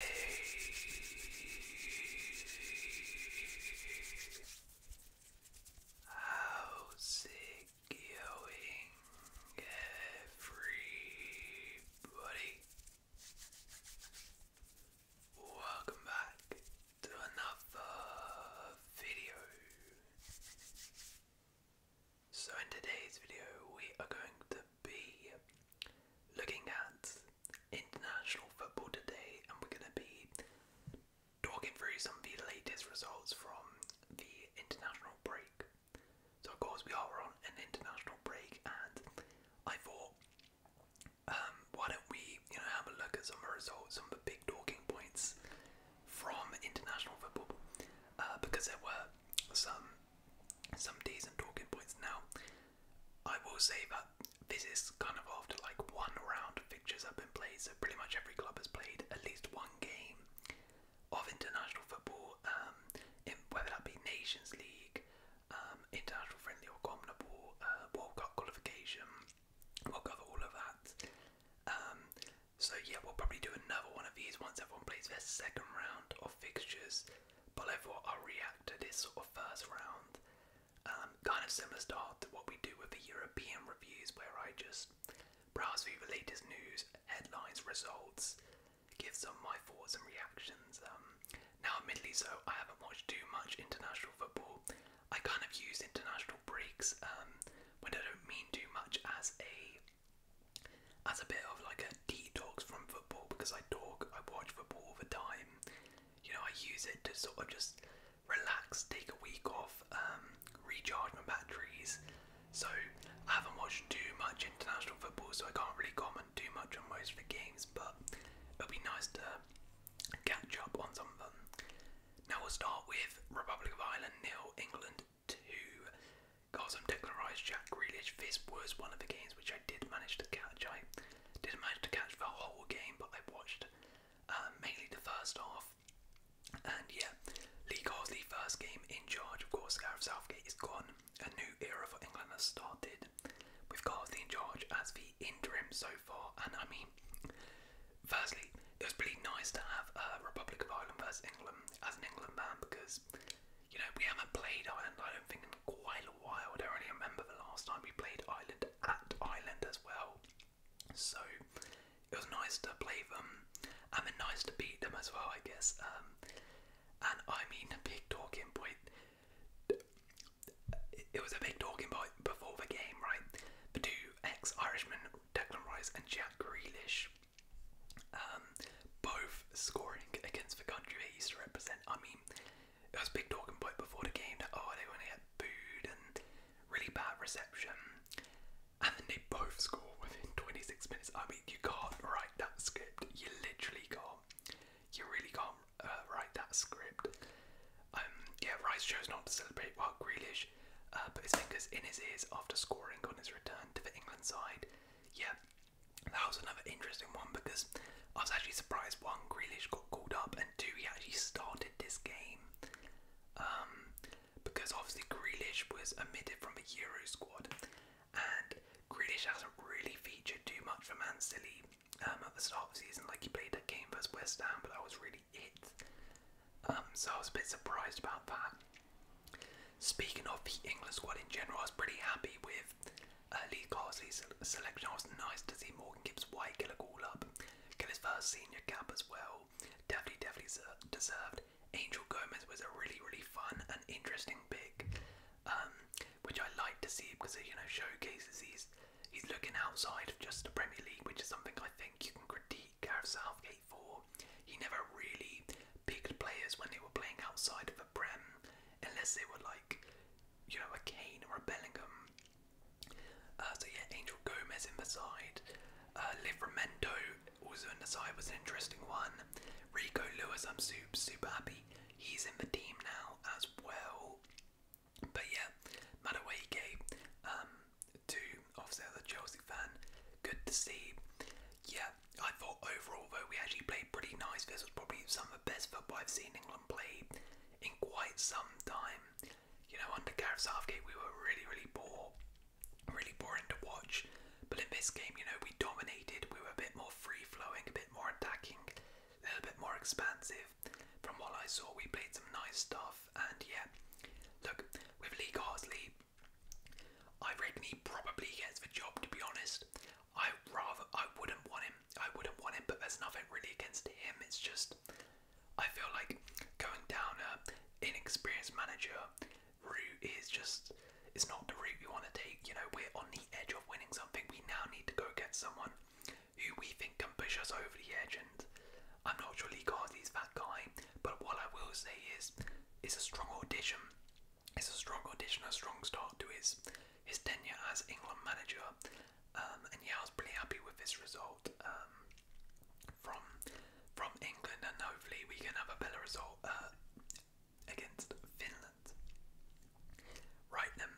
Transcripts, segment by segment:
How's it going, everybody? Welcome back to another video. So, in today's video, we are going to be looking at international football today, and we're going to be talking through some of the latest results from the international break. So, of course, we are on an international break, and I thought, um, why don't we, you know, have a look at some of the results, some of the big talking points from international football, uh, because there were some some decent talking points. Now, I will say that this is kind of after like one round of fixtures have been played, so pretty much every club has played at least one game of international football, um, in, whether that be Nations League, um, international friendly or comparable, uh, World Cup qualification. We'll cover all of that. Um, so yeah, we'll probably do another one of these once everyone plays their second round of fixtures. But I'll react to this sort of first round, um, kind of similar style to what we do with the European reviews, where I just browse through the latest news, headlines, results, give some my thoughts and reactions. Um, now, admittedly, so I haven't watched too much international football. I kind of use international breaks um, when I don't mean too much as a as a bit of like a detox from football because I talk, I watch football all the time. You know, I use it to sort of just relax, take a week off, um, recharge my batteries. So I haven't watched too much international football, so I can't really comment too much on most of the games, but it'll be nice to catch up on some of them. Now we'll start with Republic of Ireland nil, England two. Gotham declarised Jack Grealish. This was one of the games which I did manage to catch. I didn't manage to catch the whole game, but I watched uh, mainly the first half. And yeah, Lee Carsley, first game in charge. Of course, Gareth Southgate is gone. A new era for England has started with Carsley in charge as the interim so far. And I mean, firstly, it was pretty nice to have a uh, Republic of Ireland versus England as an England man because, you know, we haven't played Ireland, I don't think, in quite a while. I don't really remember the last time we played Island at Island as well. So it was nice to play them and then nice to beat them as well, I guess. Um, and I mean, big talking point. It was a big talking point before the game, right? The two ex Irishmen, Declan Rice and Jack Grealish, um, both scoring against the country they used to represent. I mean, it was big talking point before the game that oh they were gonna get booed and really bad reception, and then they both score within 26 minutes. I mean, you can't write that script. You literally can't. You really can't uh, write that script. Um, yeah, Rice chose not to celebrate while Grealish uh, put his fingers in his ears after scoring on his return to the England side. Yeah, that was another interesting one because I was actually surprised one, Grealish got called up, and two, he actually started this game. Um, because obviously Grealish was omitted from the Euro squad, and Grealish hasn't really featured too much for Man City um, at the start of the season. Like he played that game versus West Ham, but that was really it. Um, so I was a bit surprised about that. Speaking of the England squad in general, I was pretty happy with uh, Lee Carsley's selection. I was nice to see Morgan Gibbs White get a call up, get his first senior cap as well. Definitely, definitely deserved. Angel Gomez was a really, really fun and interesting pick, um, which I like to see because it you know showcases he's he's looking outside of just the Premier League, which is something I think you can critique Gareth Southgate for. He never really picked players when they were playing outside of for Prem, unless they were like, you know, a Kane or a Bellingham. Uh, so yeah, Angel Gomez in the side. Uh, Livramento also in the side was an interesting one. Rico Lewis, I'm super, super happy. He's in the team now as well. But yeah, Madawake, um, to obviously as a Chelsea fan, good to see. Yeah, I thought overall, though, we actually played pretty nice. This was probably some of the best football I've seen England play in quite some time. You know, under Gareth Southgate, we were really, really poor, really boring to watch. But in this game, you know, we dominated. We were a bit more free-flowing, a bit more attacking, a little bit more expansive. From what I saw, we played some nice stuff. And yeah, look, with Lee Carsley, I reckon he probably gets the job. To be honest, I rather I wouldn't want him. I wouldn't want him, but there's nothing really against him. It's just I feel like going down a inexperienced manager route is just it's not the route we want to take. You know, we're on the edge of winning something. We now need to go get someone who we think can push us over the edge. And I'm not sure Lee Cardi's that guy, but what I will say is, it's a strong audition. It's a strong audition, a strong start to his his tenure as England manager, um, and yeah, I was pretty happy with this result um, from from England, and hopefully we can have a better result uh, against Finland. Right then,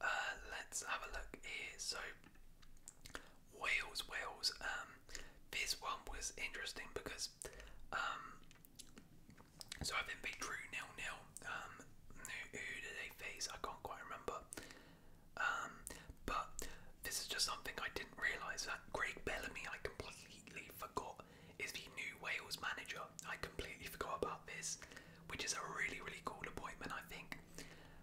uh, let's have a look here. So Wales, Wales. Um, this one was interesting because so I think they drew nil nil. Um, who, did they face? I can't quite remember. Um, but this is just something I didn't realise that Greg Bellamy, I completely forgot, is the new Wales manager. I completely forgot about this, which is a really really cool appointment. I think.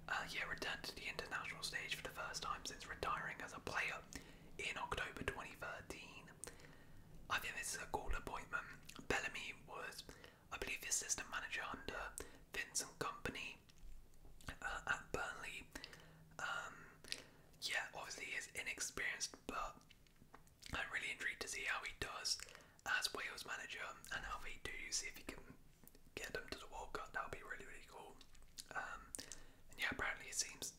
Uh, yeah, returned to the international stage for the first time since retiring as a player in October 2013. I think this is a cool appointment. Bellamy was, I believe, the assistant manager under Vincent Company uh, at Burnley. Um, yeah, obviously he's inexperienced, but I'm really intrigued to see how he does as Wales manager and how he do see if he can get them to the World Cup. That would be really, really cool. Um, and yeah, apparently it seems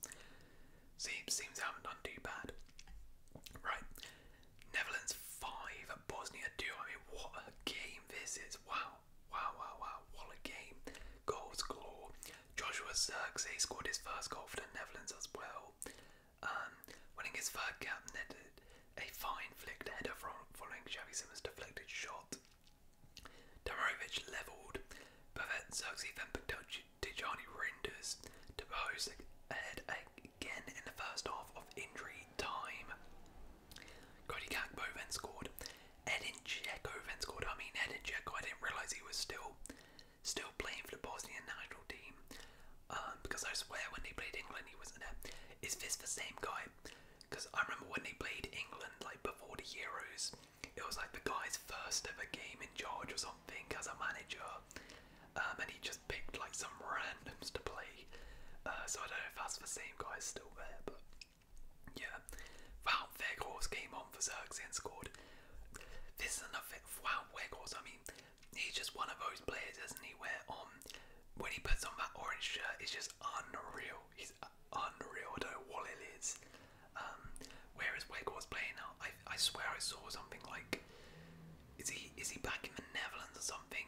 seems seems they haven't done too bad. Right. Netherlands five at Bosnia two. I mean what a game this is. Wow. Wow wow wow what a game. Goals galore. Joshua Xerxes scored his first goal for the Netherlands as well. Um winning his third cap netted a fine flicked header from following Xavi Simmons deflected shot. Damarovic levelled, but then Xerxes then picked out Tijani Rinders to pose ahead again in the first half of injury time. Cody Gakpo scored. Edin Dzeko scored. I mean, Edin Dzeko, I didn't realise he was still still playing for the Bosnia and national team. Um, because I swear when he played England, he wasn't there. Is this the same guy? Because I remember when he played England, like before the Euros, it was like the guy's first ever game in charge or something as a manager, um, and he just picked like some randoms to play. Uh, so I don't know if that's the same guy still there, but yeah. Wow, Weghorst came on for Xerxes and scored. This is enough. thing. Wow, Weghorst. I mean, he's just one of those players, isn't he? Where on um, when he puts on that orange shirt, it's just unreal. He's unreal. I don't know what it is. Um, whereas playing now, I, I swear I saw something like, is he is he back in the Netherlands or something?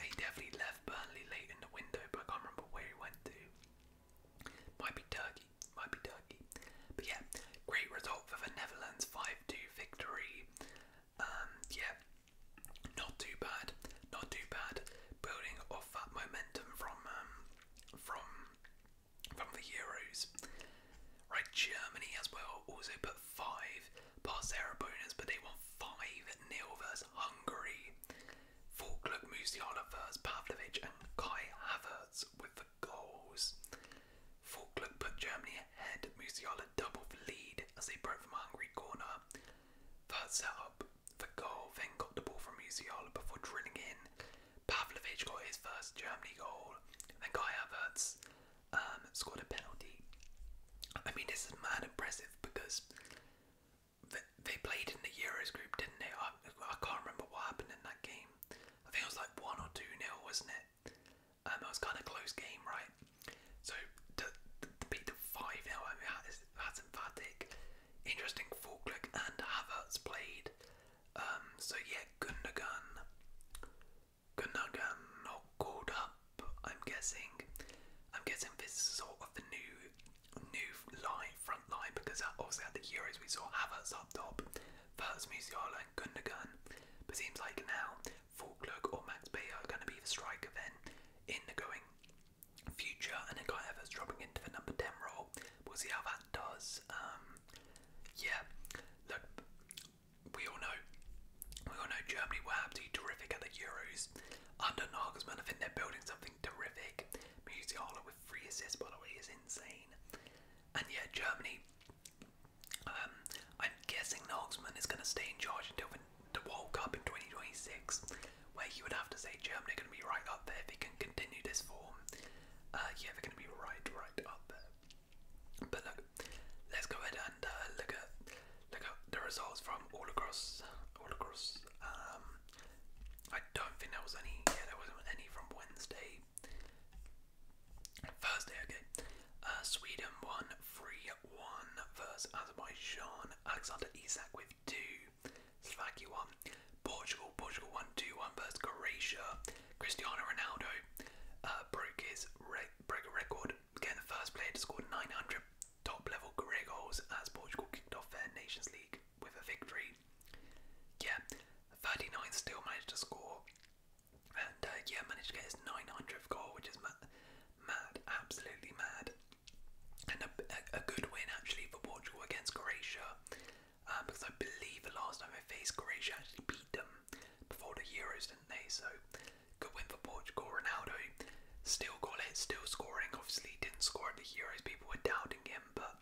He definitely left Burnley late in the window, but I can't remember where he went to. Might be Turkey, might be Turkey. But yeah, great result for the Netherlands, five-two victory. Um, yeah, not too bad, not too bad. Building off that momentum from um, from from the Euros. Right, Germany as well also put five past their but they won 5 nil versus Hungary. Falkland, Musiala versus Pavlovic, and Kai Havertz with the goals. Falkland put Germany ahead, Musiala doubled the lead as they broke from a Hungary corner. Third up for goal, then got the ball from Musiala before drilling in. Pavlovic got his first Germany goal, and then Kai Havertz um, scored a penalty. I mean, this is mad impressive because they, played in the Euros group, didn't they? I, can't remember what happened in that game. I think it was like 1 or 2 nil, wasn't it? Um, it was kind of close game, right? So, to, beat the 5 nil, I mean, that is, that's emphatic interesting Falkirk and Havertz played. Um, so yeah, Gundogan, Gundogan not called up. I'm guessing. I'm guessing this is sort of the new, new line front line because obviously at the Euros we saw Havertz up top, first Musiala and Gundogan. But seems like now Falkirk or Max Bayer are going to be the striker then in the going. Future and then Kai Havertz dropping into the number 10 role. We'll see how that does. Um, yeah, look, we all know, we all know Germany were absolutely terrific at the Euros. Under Nagelsmann, I think they're building something terrific. Musiala with three assists, by the way, is insane. And yeah, Germany. Um, I'm guessing Nagelsmann is going to stay in charge until the World Cup in 2026 where you would have to say Germany are going to be right up there if they can continue this form. Uh, yeah, they're going to be right, right up there. But look, let's go ahead and uh, look at look at the results from all across, all across. Um, I don't think there was any. Yeah, there wasn't any from Wednesday. Thursday, okay. Uh, Sweden won versus Azerbaijan. Alexander Isak with 2. Slovakia Portugal, Portugal won 2-1 Croatia. Cristiano Ronaldo uh, broke his record, again. the first player to score 900 top-level goals as Portugal kicked off their Nations League with a victory. Yeah, 39 still managed to score, and uh, yeah, managed to get his 900th goal, which is mad, absolutely mad and a, good win actually for Portugal against Croatia, um, because I believe the last time they faced Croatia actually beat them before the Euros, didn't they? So good win for Portugal. Ronaldo still got it, still scoring. Obviously, didn't score at the Euros. People were doubting him, but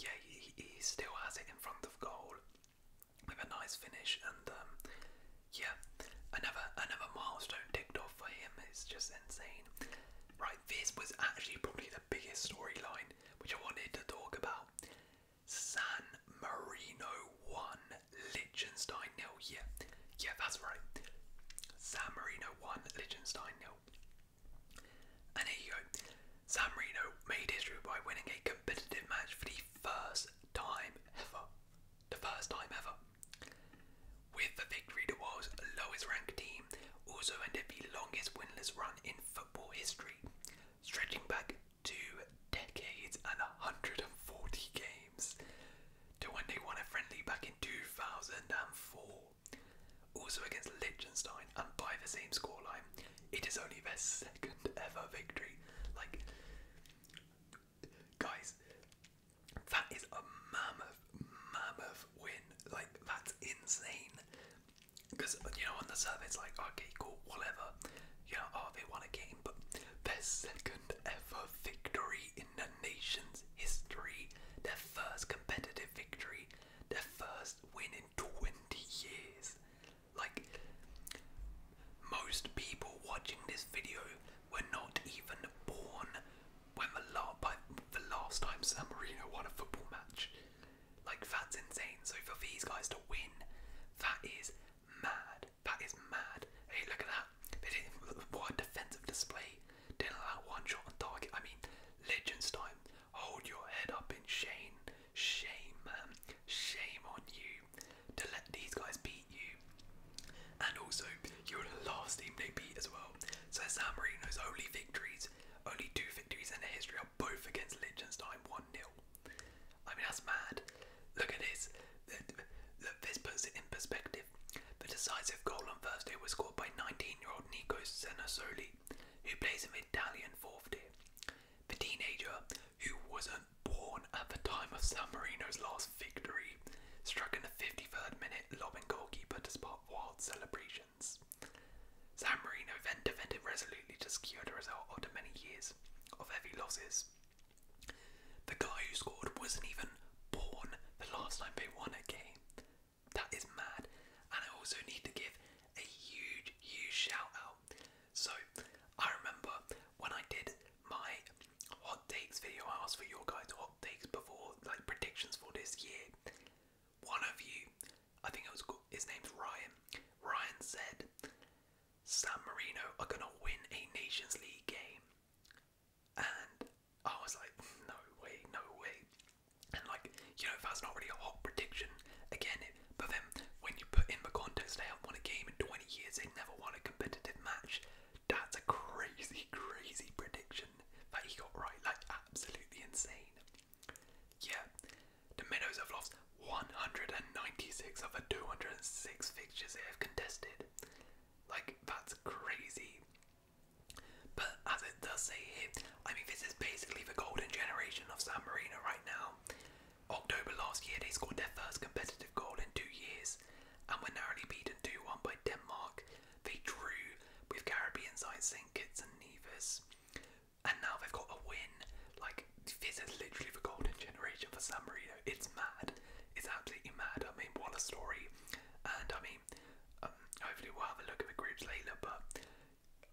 yeah, he, he still has it in front of goal with a nice finish. And um, yeah, another another milestone ticked off for him. It's just insane. Right, this was actually probably the biggest storyline which I wanted to talk about. San Marino won, Liechtenstein nil. Yeah, yeah, that's right. San Marino won, Liechtenstein nil. And here you go. San Marino made history by winning a competitive match for the first time ever. The first time ever with the victory to Wales' lowest ranked team, also ended the longest winless run in football history, stretching back two decades and 140 games to when they won a friendly back in 2004. Also against Liechtenstein and by the same scoreline, it is only their second ever victory. Like, guys, that is a mammoth, mammoth win. Like, that's insane. Because, uh, you know, on the surface, like, okay, cool, whatever. You know, oh, they won a game, but their second ever victory in the nation's history. Their first competitive victory. Their first win in 20 years. Like, most people watching this video were not even born when the la by the last time San Marino won a football match. Like that's insane. So for these guys to win, that is mad. That is mad. Hey, look at that. They didn't what defensive display. Didn't allow one shot on target. I mean, legends time. Hold your head up in shame. Shame, Shame on you. To let these guys beat you. And also you would love as well. So San Marino's only victories, only two victories in their history are both against Liechtenstein 1-0. I mean, that's mad. Look at this. This puts it in perspective. The decisive goal on Thursday was scored by 19-year-old Nico Senasoli, who plays in Italian fourth tier. The teenager, who wasn't born at the time of San Marino's last victory, struck in the 53rd minute, lobbing goalkeeper despite wild celebrations. San Marino then defended resolutely to secure the result after many years of heavy losses. The guy who scored wasn't even born the last time they won a game. That is mad, and I also need to give a huge, huge shout out. So, I remember when I did my hot takes video. I asked for your guys' hot takes before, like predictions for this year. One of you, I think it was his name's Ryan. Ryan said, "San Marino are gonna win a Nations League game," and I was like, "No way, no way." And like, you know, if that's not really a hot prediction. Again, it, but then when you put in the context, they haven't won a game in 20 years. They never won a competitive match. That's a crazy, crazy prediction that he got right, like absolutely insane. Yeah, the Minnows have lost 196 of the 206 fixtures they have contested. Like, that's crazy. But as it does say here, I mean, this is basically the golden generation of San Marino right now. October last year, they scored their first competitive goal in two years and were narrowly beaten 2 1 by Denmark, they drew with Caribbean side St. Kitts and Nevis, and now they've got a win. Like this is literally the golden generation for San It's mad. It's absolutely mad. I mean, what a story! And I mean, um, hopefully we'll have a look at the groups later. But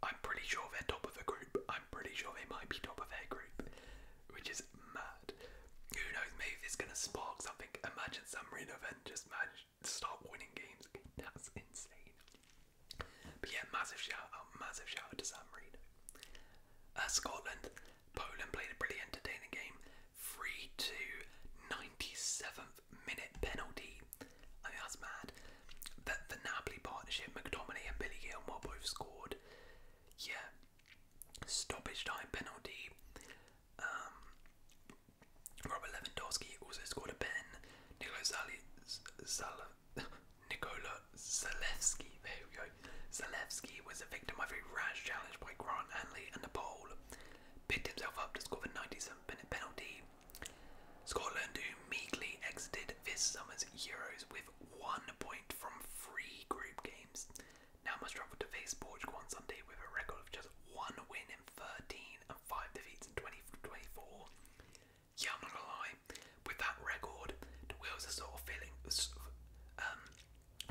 I'm pretty sure they're top of a group. I'm pretty sure they might be top of their group, which is mad who knows, maybe it's going to spark something. Imagine some Marino then just managed to start winning games That's insane. But yeah, massive shout out, massive shout out to San Marino. Uh, Scotland, Poland played a brilliant, entertaining game. 3 to 97th minute penalty. I mean, that's mad. The, the Napoli partnership, McDominay and Billy Gilmore both scored. Yeah. Stoppage time penalty. Um, Robert Lewandowski also scored a pen. Nicola Zali, Zalewski, was a victim of a rash challenge by Grant Hanley and the pole. Picked himself up to score the 97th penalty. Scotland, who meekly exited this summer's Euros with one point from three group games, now must travel to face Portugal on Sunday with a record of just one win in 13 and five defeats in 2024. yeah, I'm not gonna lie. With that record, the wheels are sort of feeling, um,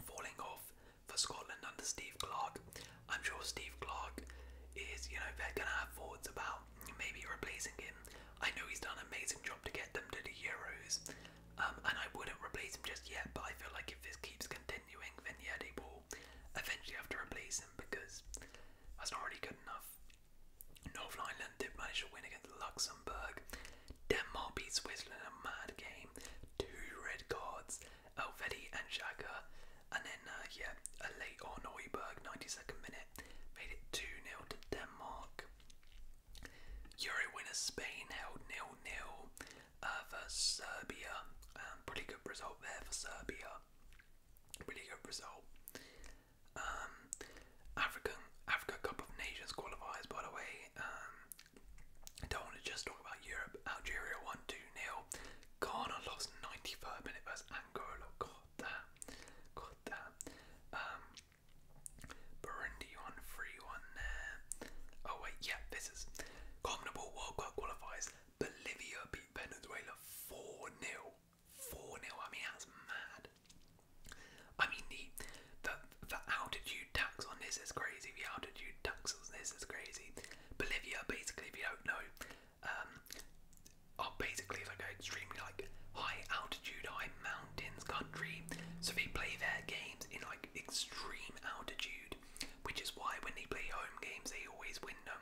falling off for Scotland under Steve Clark. I'm sure Steve Clark is, you know, they're gonna have thoughts about maybe replacing him. I know he's done an amazing job to get them to the Euros, um, and I wouldn't replace him just yet, but I feel like if this keeps continuing, then yeah, they will eventually have to replace him because that's not really good enough. Northern Ireland did manage to win against Luxembourg. Denmark beat Switzerland a mad game. Two red cards, Elvedi and Shaka. And then, uh, yeah, a late on 92nd minute, made it 2 0 to Denmark. Euro winner Spain held 0 0 uh, Serbia. Um, pretty good result there for Serbia. Really good result. Um, African Africa Cup of Nations qualifies. by the way. Um, I don't want to just talk about Europe. Algeria one 2 nil. Ghana lost 93rd minute versus Angola. God damn. God damn. Um, Burundi won 3 1 there. Oh, wait, yeah, this is. Commonwealth World Cup qualifiers. Bolivia beat Venezuela 4-0. 4-0. I mean, that's mad. I mean, the, the, the altitude tax on this is crazy. The altitude tax on this is crazy. Bolivia, basically, if you don't know, um, are basically like an extremely like high altitude, high mountains country. So they play their games in like extreme altitude which is why when they play home games, they always win them.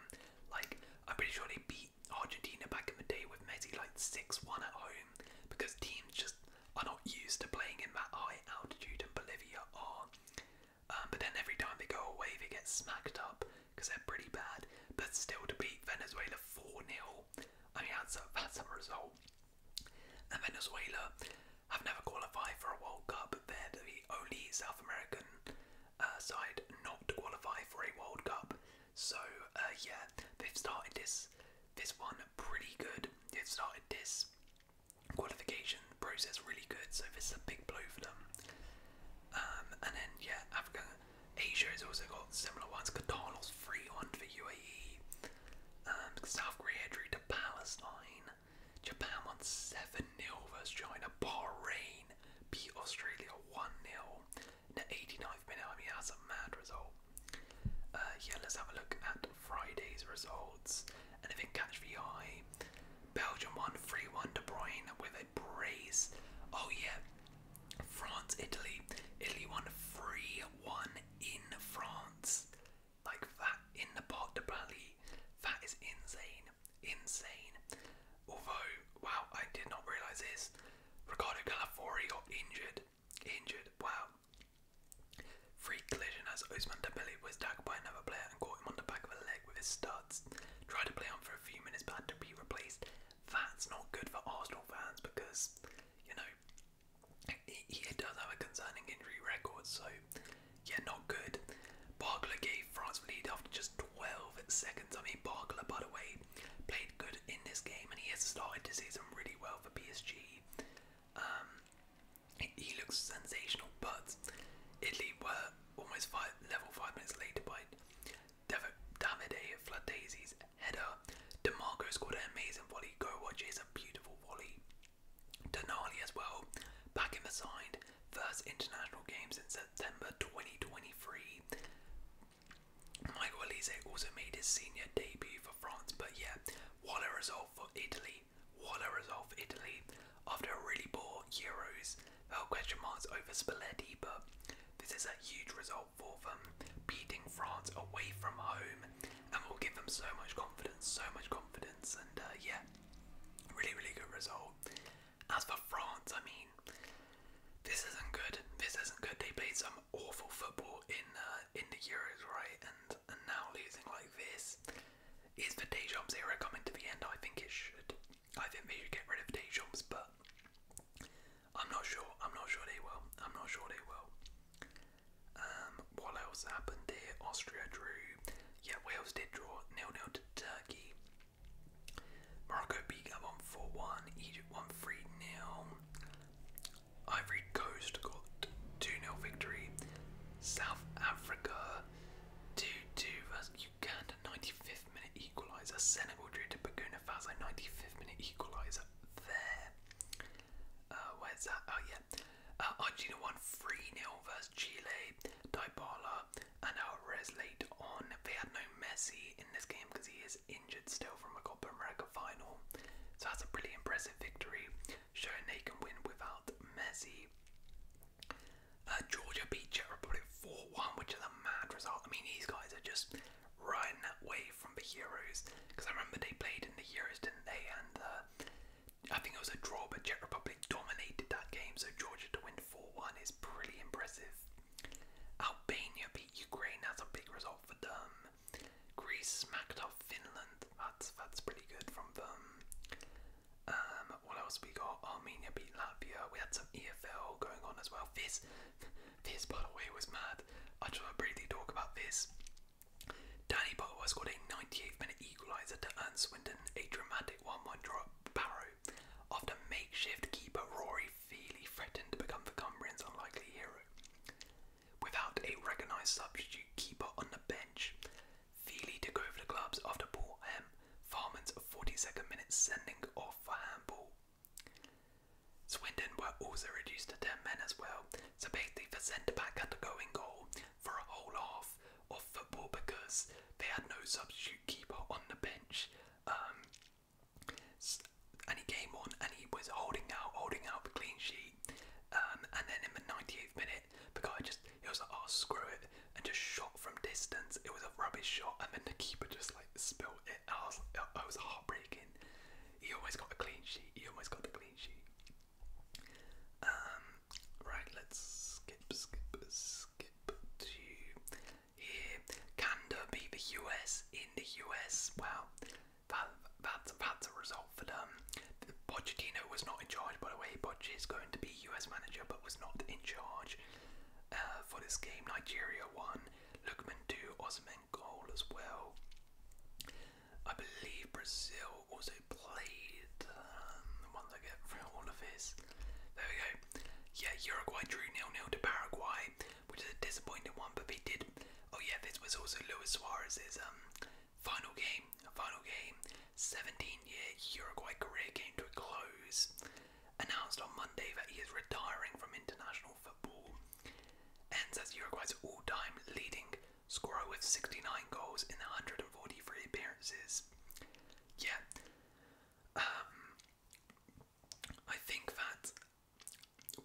Like, I'm pretty sure they beat Argentina back in the day with Messi like 6 1 at home because teams just are not used to playing in that high altitude, in Bolivia are. Um, but then every time they go away, they get smacked up because they're pretty bad. But still, to beat Venezuela 4 0, I mean, that's a, that's a result. And Venezuela have never qualified for a World Cup. They're the only South American uh, side not to qualify for a World Cup. So uh, yeah, they've started this this one pretty good. They've started this qualification process really good. So this is a big blow for them. Um, and then yeah, Africa, Asia has also got similar ones. Qatar lost three one the UAE. South um, Korea drew to Palestine. Japan won 7 0 versus China. Bahrain beat Australia 1 0 in the 89th minute. I mean, that's a mad result. Uh, yeah, let's have a look at Friday's results. Anything catch the eye? Belgium won 3 1 De Bruyne with a brace. Oh, yeah. France, Italy. Italy won 3 1 in France like that in the pot de Bali. That is insane, insane. Although, wow, I did not realise this. Ricardo Calafori got injured, injured. Wow. Free collision as Osman Dembele was tackled by another player and caught him on the back of the leg with his studs. Tried to play on for a few minutes, but had to be replaced. That's not good for Arsenal fans because, you know, he, he does have a concerning injury record, so yeah, not good. Barkla gave France the lead after just 12 seconds. I mean, Barkla, by the way, played good in this game, and he has started the season really well for PSG. Um, he, looks sensational, but Italy were almost five, level five minutes later by flood daisy's header. DeMarco scored an amazing volley. Go watch it; it's a beautiful volley. Denali as well, back in the side, first international game since September 2023. Michael Elise also made his senior debut for France, but yeah, what a result for Italy. What a result for Italy. After a really poor Euros, there question marks over Spalletti, but this is a huge result for them, beating France away from home and we will give them so much confidence, so much confidence, and uh, yeah, really, really good result. As for France, I mean, this isn't good. This isn't good. They played some awful football in uh, in the Euros, right? And and now losing like this is the Deschamps era coming to the end. I think it should. I think they should get rid of Deschamps, but I'm not sure. I'm not sure they will. I'm not sure they will. Um, what else happened there? Austria drew. Yeah, Wales did draw Nil-nil to Turkey. Morocco beat Gabon 4 1. Egypt won 3 0. Ivory Coast got 2 nil victory. South Africa 2 2 versus Uganda 95th minute equaliser. Senegal drew to Burkina Faso 95th minute equaliser there. Uh, where's that? Oh, yeah. Uh, Argentina won 3 0 versus Chile. Dybala and Alvarez late on. They had no Messi in this game because he is injured still from a Copa America final. So that's a pretty impressive victory, showing they can win without Messi. Uh, Georgia beat Czech Republic 4 1, which is a mad result. I mean, these guys are just riding that wave from the heroes, because I remember they played in the heroes, didn't they? And uh, I think it was a draw, but Czech Republic dominated that game. So Georgia to win 4-1 is pretty impressive. Albania beat Ukraine. That's a big result for them. Greece smacked off Finland. That's that's pretty good from them. Um, what else we got? Armenia beat Latvia. We had some EFL going on as well. This, this by the way was mad. I just want briefly talk about this. Danny Butler scored a ninety-eight minute equaliser to earn Swindon a dramatic 1 1 draw at Barrow after makeshift keeper Rory Feely threatened to become the Cumbrian's unlikely hero. Without a recognised substitute keeper on the bench, Feely took over the gloves after Paul M. Farman's 42nd minute sending off for handball. Swindon were also reduced to 10 men as well, so basically the centre back had to go in goal for a whole half of football because they had no substitute keeper on the bench. Um, and he came on and he was holding out, holding out the clean sheet. Um, and then in the 98th minute, the guy just, he was like, oh, screw it, and just shot from distance. It was a rubbish shot, and then the keeper just like spilled it. I was, I was heartbreaking. He always got the clean sheet. He always got the clean sheet. Um, right, let's skip, skip, skip to here. Canada beat the US in the US. Wow, that, that's, that's a result for them. Pochettino was not in charge, by the way. Poch is going to be US manager, but was not in charge uh, for this game. Nigeria won. Lukman 2, Osman goal as well. I believe Brazil also played um, the ones I get for all of this. There we go. Yeah, Uruguay drew 0 0 to Paraguay, which is a disappointing one, but they did. Oh, yeah, this was also Luis Suarez's um, final game. Final game. 17 year Uruguay career came to a close. Announced on Monday that he is retiring from international international football. Ends as Uruguay's all-time leading scorer with 69 goals in 143 appearances. Yeah, um, I think that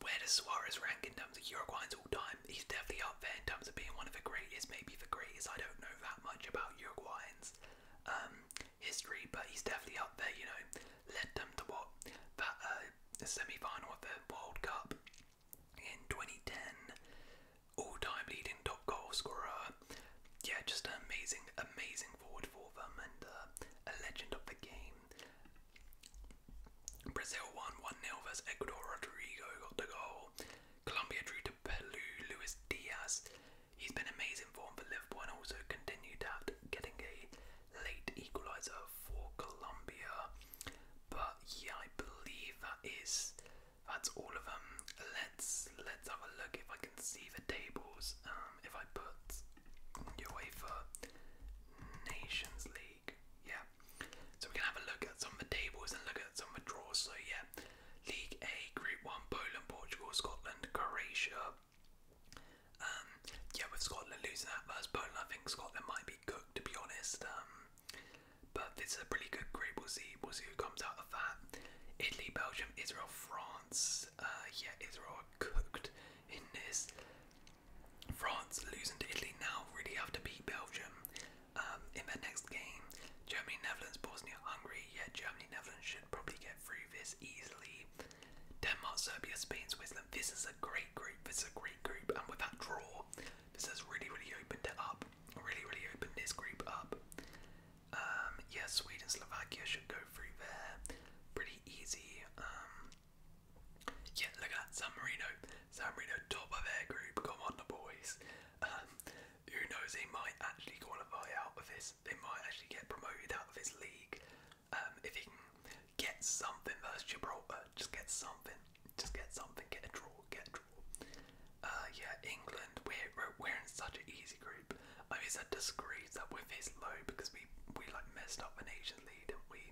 where does Suarez rank in terms of Uruguayans all-time? He's definitely up there in terms of being one of the greatest, maybe the greatest. I don't know that much about Uruguayans. Um, history, but he's definitely up there, you know, led them to what uh, the semi-final of the World Cup in 2010. All-time leading top goal scorer. Yeah, just an amazing, amazing forward for them and uh, a legend of the game. Brazil won 1-0 versus Ecuador. Rodrigo got the goal. Colombia drew to Peru. Luis Diaz. He's been amazing form for Liverpool and also continued at getting a late equaliser for Colombia. But yeah, I believe that is that's all of them. Let's let's have a look if I can see the tables. Um, if I put UEFA Nations League, yeah. So we can have a look at some of the tables and look at some of the draws. So yeah, League A, Group One: Poland, Portugal, Scotland, Croatia. Um, yeah, with Scotland losing that first Poland, I think Scotland might be cooked to be honest. Um, but this is a pretty good group. We'll see. We'll see who comes out of that. Italy, Belgium, Israel, France. Uh, yeah, Israel are cooked in this. France losing to Italy now really have to beat Belgium um, in the next game. Germany, Netherlands, Bosnia, Hungary. Yeah, Germany, Netherlands should probably get through this easily. Denmark, Serbia, Spain, Switzerland. This is a great group. This is a great group. And with that draw, this has really, really opened it up. Really, really opened this group up. Um, yes, Sweden, Slovakia should go through there. Pretty easy. Um, yeah, look at that. San Marino. San Marino, top of their group. Come on, the boys. Um, who knows? They might actually qualify out of this. They might actually get promoted out of this league. Um, if you can get something versus Gibraltar, just get something, just get something, get a draw, get a draw. Uh, yeah, England, we're, we're in such an easy group. I mean, it's a disgrace that we're this low because we, we like messed up the Asian League, did we,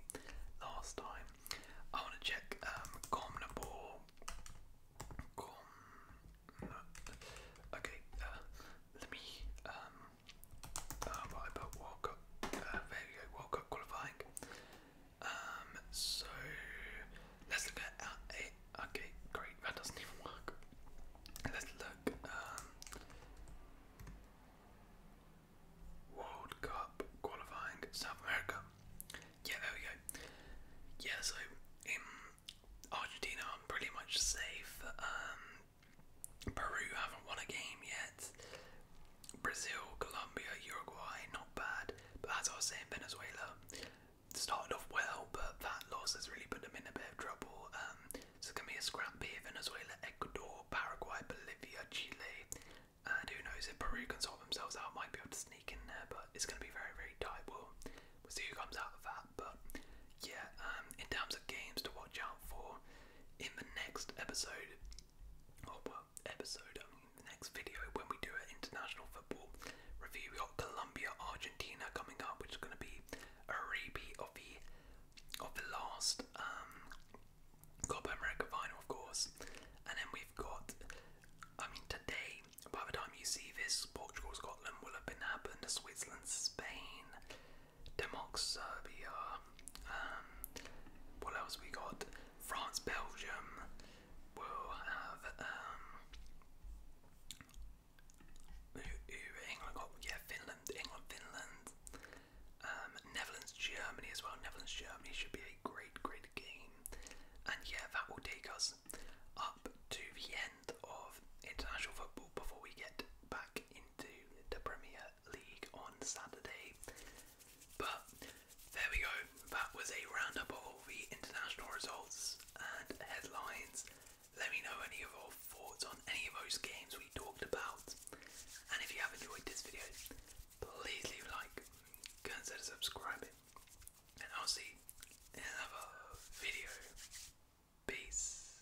last time? I want to check um, Com. Okay, uh, let me. Um, uh, World Cup, uh, there you go, World Cup qualifying. Um, so let's look at it. Okay, great, that doesn't even work. Let's look. Um, World Cup qualifying South America. Yeah, there we go. Yeah, so in Argentina, I'm pretty much safe. Um, Peru haven't won a game yet. Brazil, Colombia, Uruguay, not bad. But as I was saying, Venezuela started off well, but that loss has really put them in a bit of trouble. Um, so it's going to be a scrap here. Venezuela, Ecuador, Paraguay, Bolivia, Chile. And who knows, if Peru can sort themselves out, might be able to sneak in there, but it's going to be very, very tight. We'll, we'll see who comes out of that. But yeah, um, in terms of games to watch out for, in the next episode, or well, episode, I mean, the next video when we do an international football review, we got Colombia, Argentina coming up, which is going to be a repeat of the of the last um, Copa America final, of course. And then we've got, I mean, today, by the time you see this, Portugal, Scotland will have been up happened, Switzerland, Spain. Denmark, Serbia. Um, what else we got? France, Belgium. We'll have um, Yeah, Finland, England, Finland. Um, Netherlands, Germany as well. Netherlands, Germany should be a great, great game. And yeah, that will take us up to the end of international football before we get back into the Premier League on Saturday. But there we go, that was a roundup of the international results and headlines. Let me know any of your thoughts on any of those games we talked about. And if you have enjoyed this video, please leave a like, consider subscribing, and I'll see you in another video. Peace.